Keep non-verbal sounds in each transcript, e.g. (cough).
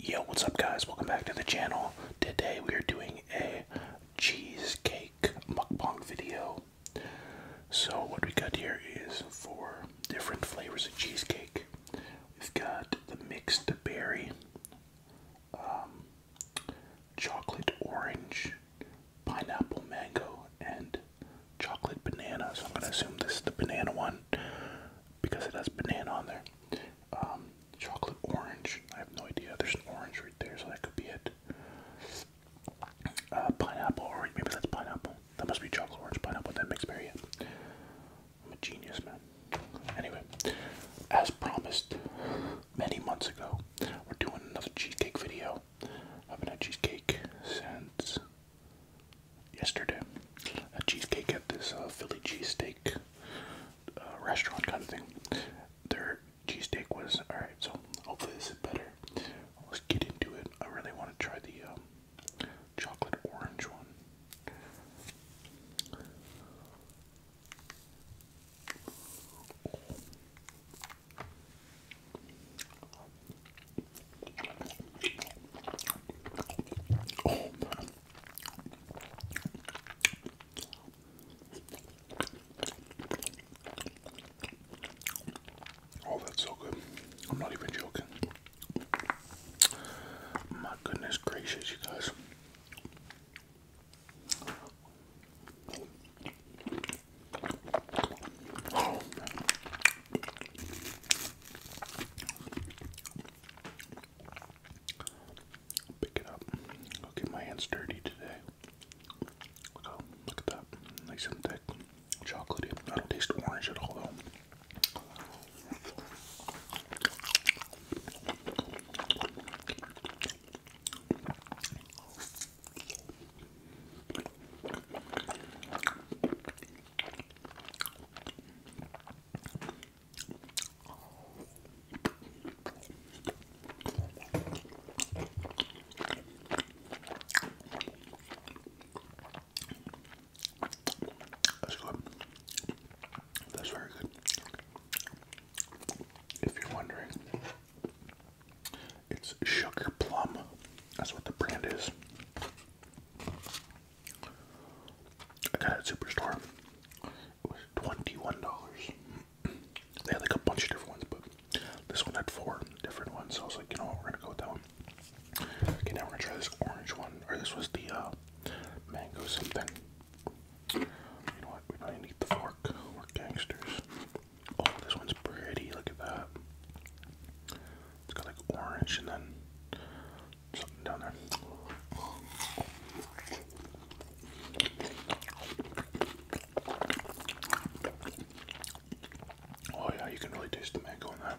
Yo, what's up guys? Welcome back to the channel. Today we are doing a cheesecake mukbang video. So what we got here is four different flavors of cheesecake. We've got the mixed berry, um, chocolate orange, pineapple mango, and chocolate banana. So I'm gonna assume this is the banana one because it has banana on there. Um, chocolate orange. I have no idea. There's an orange right there, so that could be it. Uh, pineapple, or maybe that's pineapple. That must be chocolate orange pineapple. That makes berry. It. I'm a genius, man. Anyway, as promised many months ago, we're doing another cheesecake video. I have been had cheesecake since yesterday. A cheesecake at this uh, Philly cheesesteak uh, restaurant kind of thing. Their cheesesteak was alright, so hopefully this is better. Let's get into it. I really want to try the um, chocolate orange one. Oh, Oh, that's so good. I'm not even joking. My goodness gracious, you guys. Oh, Pick it up. I'll get my hands dirty today. Oh, look, at that. Nice and thick. Chocolatey. I do taste orange at all though. That's good. That's very good. If you're wondering, it's Sugar Plum. That's what the brand is. I got it at Superstore. It was $21. (clears throat) They had like a bunch of different ones, but this one had four different ones. So I was like, you know what, we're gonna go with that one. Okay, now we're gonna try this orange one. Or this was the uh, mango something. You know what? We do need the fork. We're gangsters. Oh, this one's pretty. Look at that. It's got like orange and then something down there. Oh yeah, you can really taste the mango in that.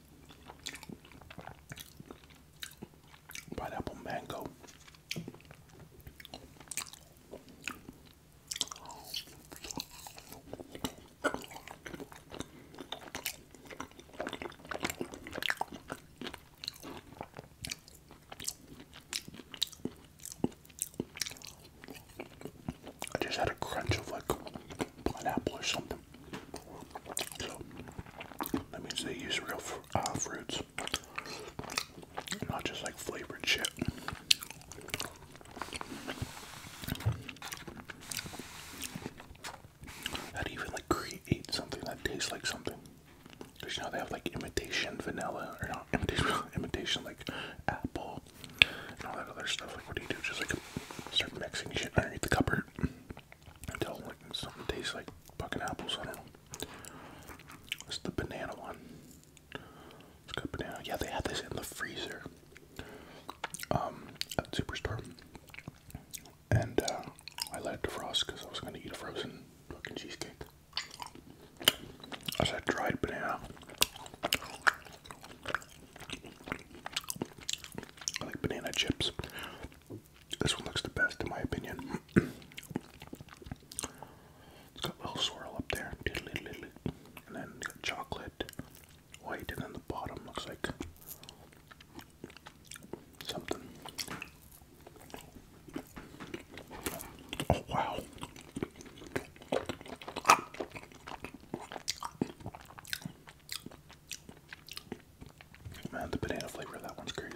Pineapple mango. I just had a crunch of like pineapple or something. So that means they use real uh, fruits, not just like flavored shit. How do you even like create something that tastes like something? Cause you know they have like imitation vanilla or not imitation, (laughs) imitation like apple and all that other stuff. Like what do you do? Just like start mixing shit underneath the cupboard until like something tastes like fucking apples. I don't know. It's the banana one. It's got banana. Yeah, they had this in the freezer. Um, at Superstore. And uh, I let it defrost because I was gonna eat a frozen fucking cheesecake. I said dried banana. I like banana chips. This one looks the best in my opinion. (clears throat) it's got a little swirl up there. And then got chocolate, white, and then the bottom looks like something. Oh wow. Man, the banana flavor of that one's crazy.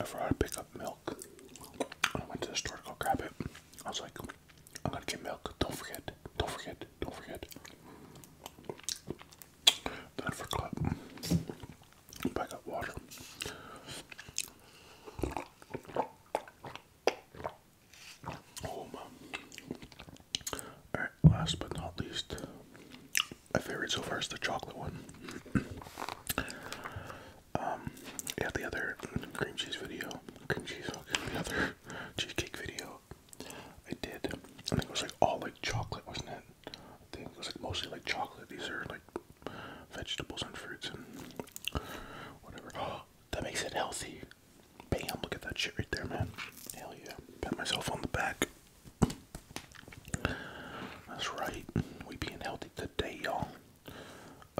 After to pick up milk, I went to the store to go grab it. I was like, I'm gonna get milk. Don't forget. Don't forget. Don't forget. Not for I got water. Oh, Alright, last but not least, my favorite so far is the chocolate one. um, yeah, the other cream cheese video, cream cheese, the other cheesecake video I did, I think it was like all like chocolate, wasn't it? thing. It was like mostly like chocolate. These are like vegetables and fruits and whatever. (gasps) that makes it healthy. Bam! Look at that shit right there, man. Hell yeah! Pat myself on the back. That's right. We being healthy today, y'all.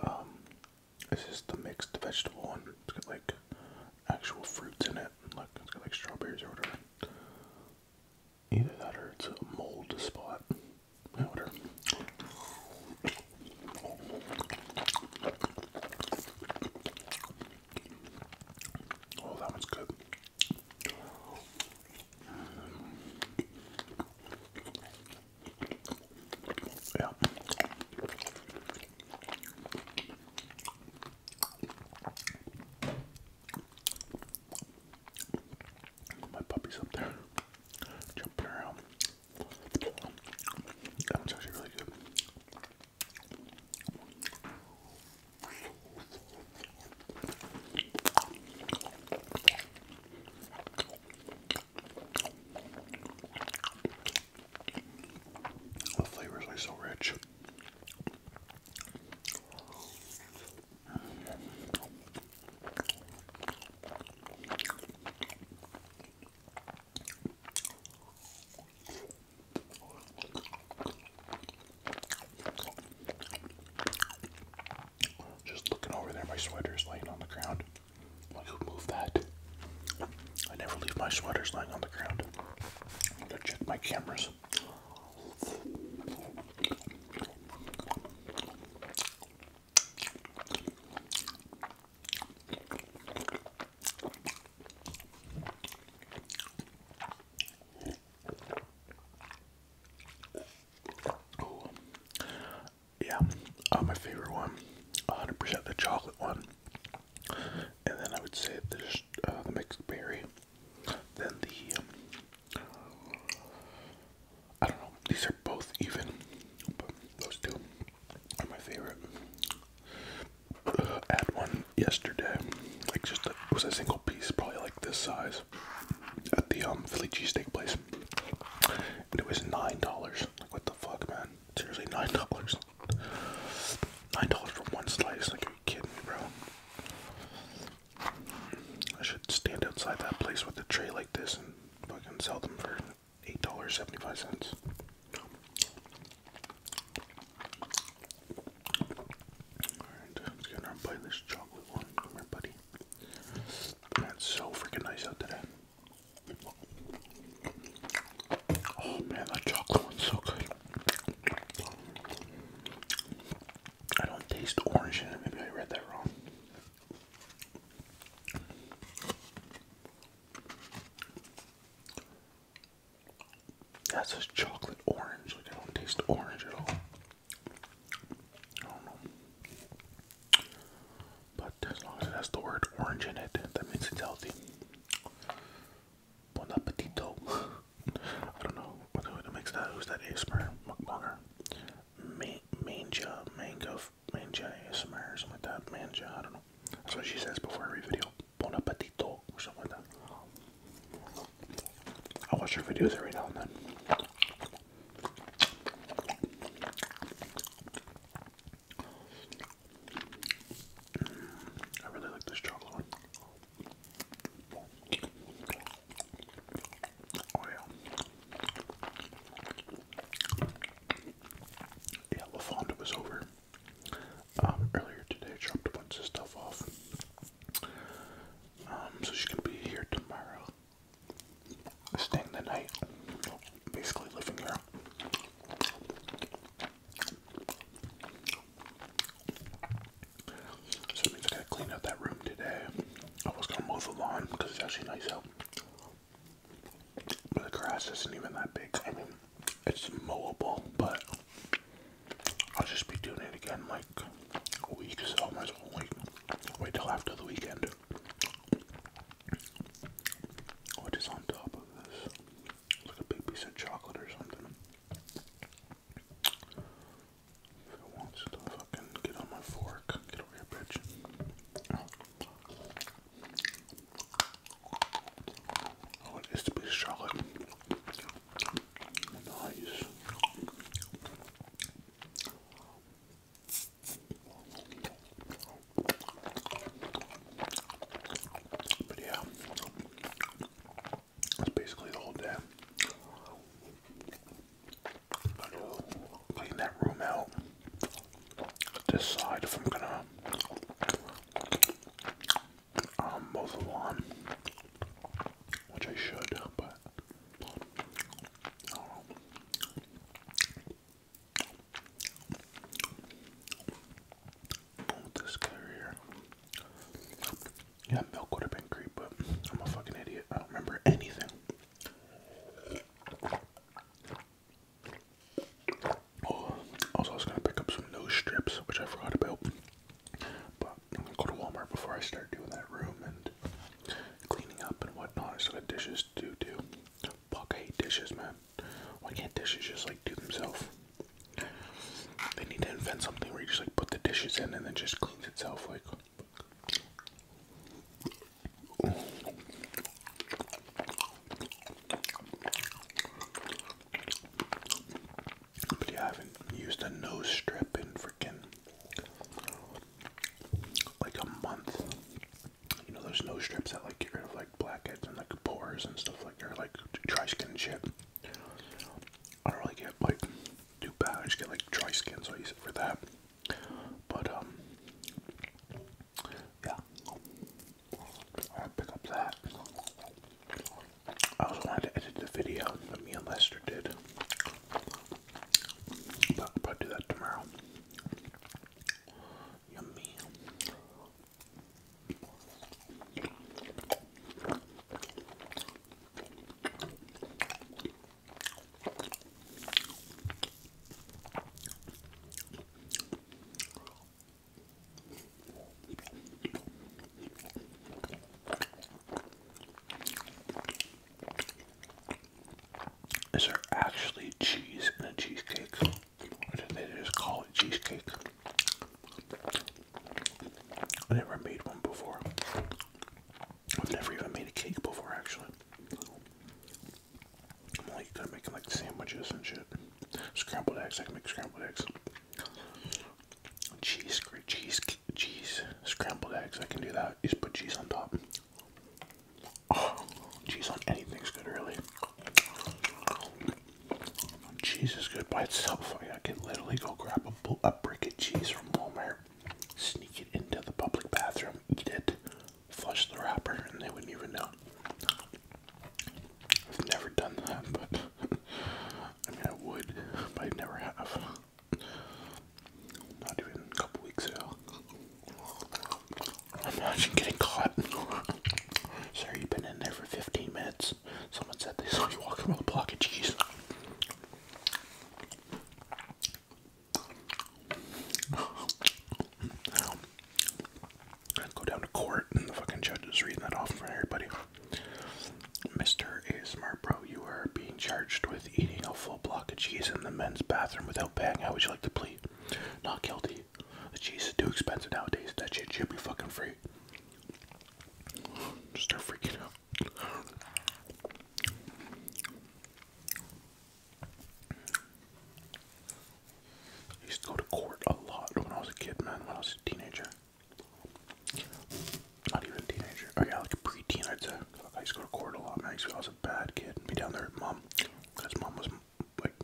Um, this is the mixed vegetable one. It's got like actual fruits in it. Look, it's got like strawberries or whatever. Either that or it's a mold spot. Whatever. Oh, that one's good. Yeah. My puppy's up there jumping around. That actually really good. The flavor is so rich. Just looking over there, my sweater's laying on the ground. who moved that? I never leave my sweaters lying on the ground. I'm gonna check my cameras. Yeah, uh, my favorite one, 100% the chocolate one, and then I would say there's uh, the mixed berry. Then the. Um, I don't know. These are both even, those two are my favorite. At one yesterday, like just it was a single piece, probably like this size, at the um Philly cheesesteak place, and it was nine dollars. Like what the fuck, man? Seriously, nine dollars. Nine dollars for one slice. Like kidding, bro? I should stand outside that place with a tray like this and fucking sell them for eight dollars seventy five cents. Alright, let's get our bite this chocolate one. Come here, buddy. That's so freaking nice out today. Oh man, that chocolate one's so good. I don't taste orange in it. Maybe I read that wrong. That's a chocolate orange. Like I don't taste orange at all. I don't know. But as long as it has the word orange in it, that means it's healthy. Bon appetito. I don't know what the makes that. Who's that ASMR mukbanger? Man, manja, mango, manja or something like that. Manja, I don't know. That's what she says before every video. Bon appetito, or something like that. I watch her videos every now and then. Mm, I really like this chocolate one. Oh yeah. Yeah, LaFonda was over um, earlier today. Dropped a bunch of stuff off. Um, so she's gonna be here tomorrow. Staying the night. Basically living here. So it means I to clean out that room today. I was gonna mow the lawn because it's actually nice out. But the grass isn't even that big. I mean, it's mowable, but I'll just be doing it again like a week, so I might as well wait, wait till after the weekend. What is on top of this? like a big piece of chocolate or something. If it wants to fucking get on my fork, get over here, bitch. Oh, it is the piece of chocolate. Nice. But yeah, that's basically the whole day. clean that room out. Decide if I'm gonna um mow which I should, but this guy here. Yeah, milk would have been great, but I'm a fucking idiot. I don't remember anything. Oh, also I was gonna pick up some nose strips, which I forgot about. But I'm gonna go to Walmart before I start doing that room and cleaning up and whatnot. I still got dishes to do Fuck, I hate dishes, man. Why can't dishes just like do themselves? They need to invent something where you just like put the dishes in and then just cleans itself like. But I haven't used a nose strip in freaking like a month you know there's nose strips that like get rid of like blackheads and like pores and stuff like or like dry skin shit. I don't really get like too bad. I just get like dry skin, so I use it for that. But um, yeah, I'll pick up that. I also wanted to edit the video that me and Lester did, but I'll probably do that tomorrow. Yummy. Is there actually cheese in a cheesecake? they just call it cheesecake? I never made one before. I've never even made a cake before, actually. I'm like good at making like sandwiches and shit. Scrambled eggs, I can make scrambled eggs. Cheese, cheese, cheese, scrambled eggs, I can do that. just put cheese on top. Oh, cheese on anything's good, really. Cheese is good by itself. Oh, I can literally go grab a, a brick of cheese from Walmart, sneak it into the public bathroom, eat it, flush the wrapper, and they wouldn't even know. I've never done that, (laughs) but I mean, I would, but I never have. Not even a couple weeks ago. Imagine getting caught. (laughs) Sir, you've been in there for 15 minutes. Someone said they saw you walking with a block of cheese. go down to court and the fucking judge is reading that off for everybody. Mr. ASMR Bro, you are being charged with eating a full block of cheese in the men's bathroom without paying. How would you like to plead? Not guilty. The cheese is too expensive nowadays. That shit should be fucking free. start freaking out. I used to go to court a lot when I was a kid, man. When I was a teenager. Not even a teenager. Oh yeah, like a preteen, I'd say. I used to go to court a lot, man. I was a bad kid. Be down there, mom mom because mom was like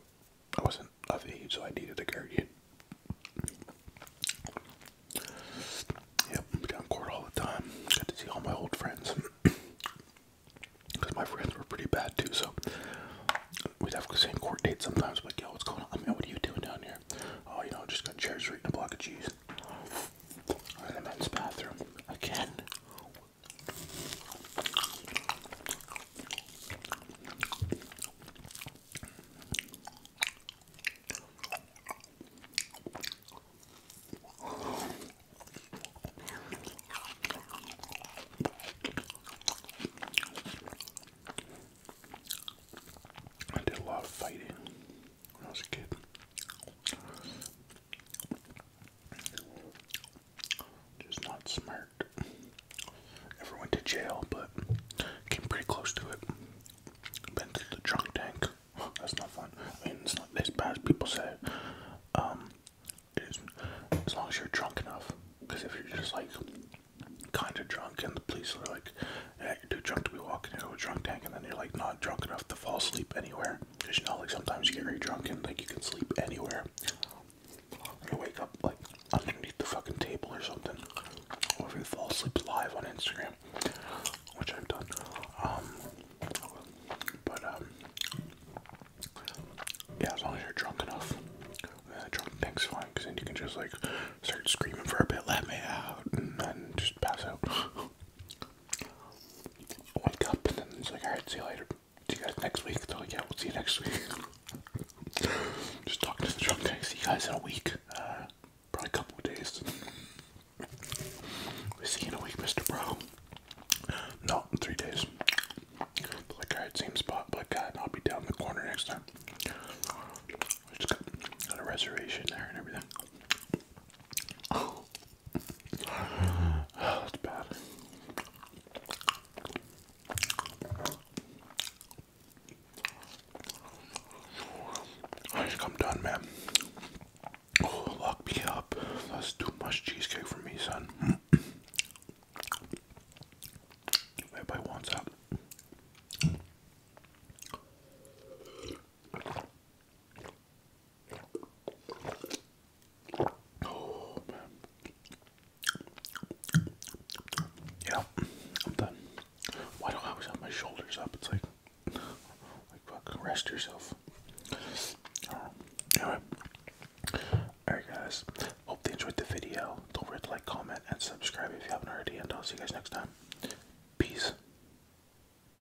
I wasn't of age, so I needed a guardian. Yep, I'm down court all the time. Got to see all my old friends because (clears throat) my friends were pretty bad too. So we'd have the same court dates sometimes. Like, yo, what's going on? man? what are you doing down here? Oh, you know, just got chairs eating a block of cheese. i in the men's bathroom again. I did a lot of fighting when I was a kid. Just not smart. Never went to jail, but came pretty close to it. Been to the drunk tank. (sighs) That's not fun. I mean, it's not as bad as people say. Um, as long as you're drunk enough. Because if you're just like kind of drunk and the police are like, yeah, you're too drunk to be walking into a drunk tank, and then you're like not drunk enough to fall asleep anywhere, Cause you know, like sometimes you get very drunk and like you can sleep anywhere. you wake up like underneath the fucking table or something. Or if fall asleep live on Instagram, which I've done. Um, but um, yeah, as long as you're drunk enough, uh, drunk thing's fine. Cause then you can just like start screaming for a bit, let me out, and then just pass out wake up and then it's like, alright, see you later. See you guys next week. They're like, yeah, we'll see you next week. (laughs) Just talking to the drunk See you guys in a week. Uh, probably a couple of days. we see you in a week, Mr. Bro. No, three days. Like, alright, same spot, but God, I'll be down in the corner next time. I just got, a reservation there and everything. I think I'm done, man. lock me up. That's too much cheesecake for me, son. Everybody wants that. Oh Yeah, I'm done. Why do I always have my shoulders up? It's like like fucking rest yourself. Alright guys. Hope you enjoyed the video. Don't forget to like, comment, and subscribe if you haven't already, and I'll see you guys next time. Peace.